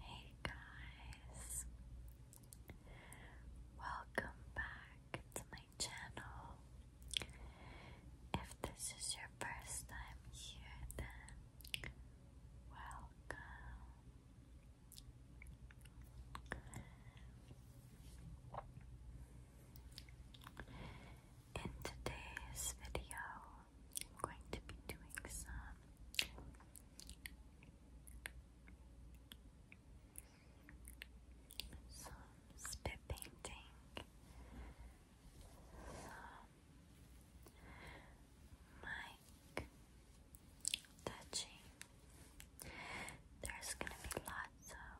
Hey guys, welcome back to my channel. If this is your first time here, then welcome. In today's video, I'm going to be doing some spit painting, some touching. There's gonna be lots of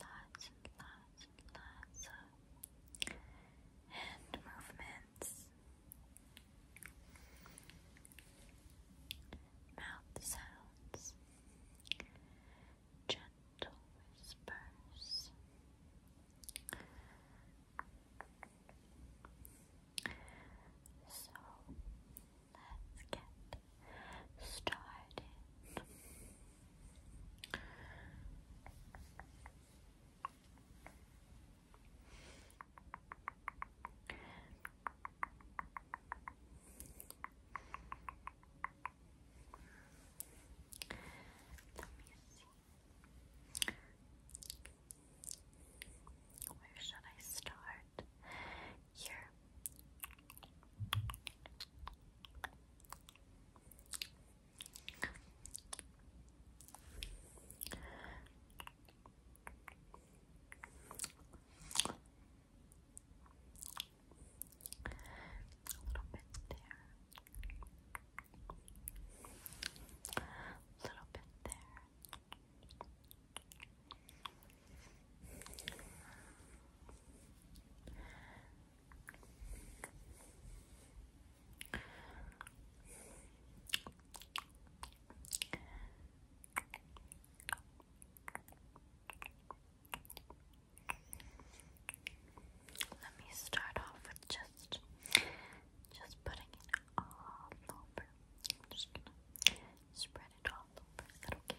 lots and lots lots of hand movements, mouth sounds, gentle whispers. So let's get started. Where should I start? Here little bit there. A little bit there. Let me start off with just just putting it all over. I'm just gonna spread it all over. Is that okay?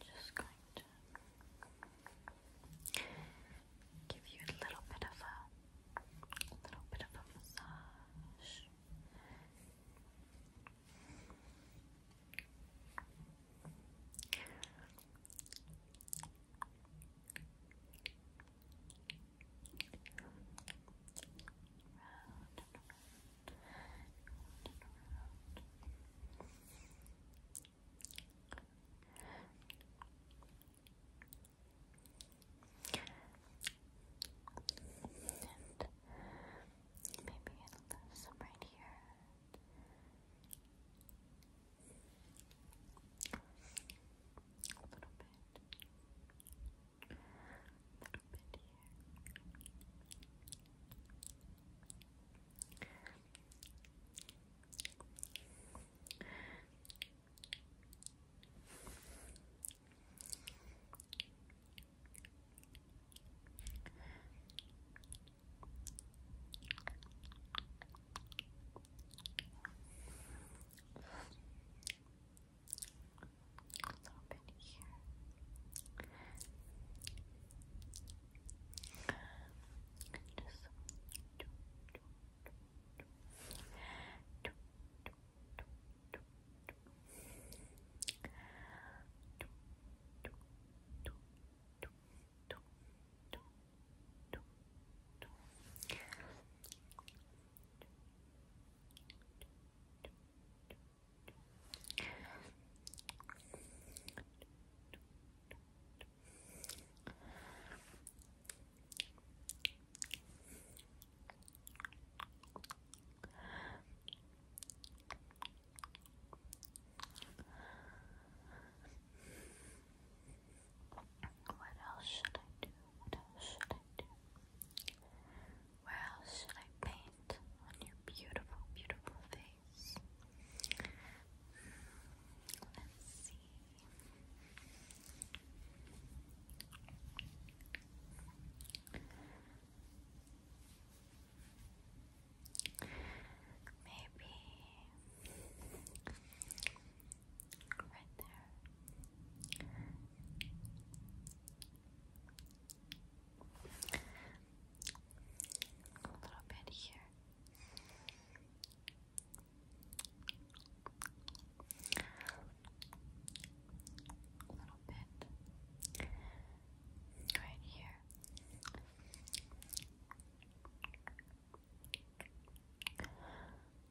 Just going to give you a little bit of a, little bit of a massage. And maybe some right here. A little bit from in here a little bit here. And just Good. What else should I do? What else should I do? Where else should I paint on your beautiful, beautiful face? Hmm, let's see. Maybe right there. A little bit here. A little bit right here.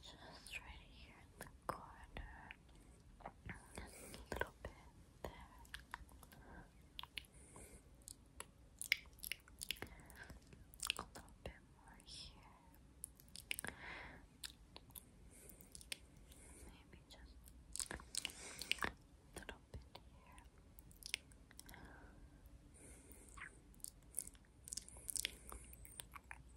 Just right here in the corner. A little bit there. A little bit more here. Maybe just a little bit here.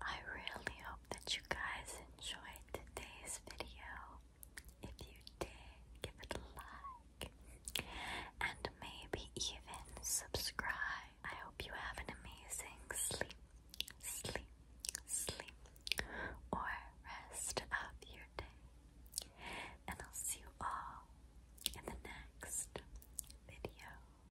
I really hope that you guys enjoyed today's video. If you did, give it a like and maybe even subscribe. I hope you have an amazing sleep, sleep, sleep, or rest of your day. And I'll see you all in the next video.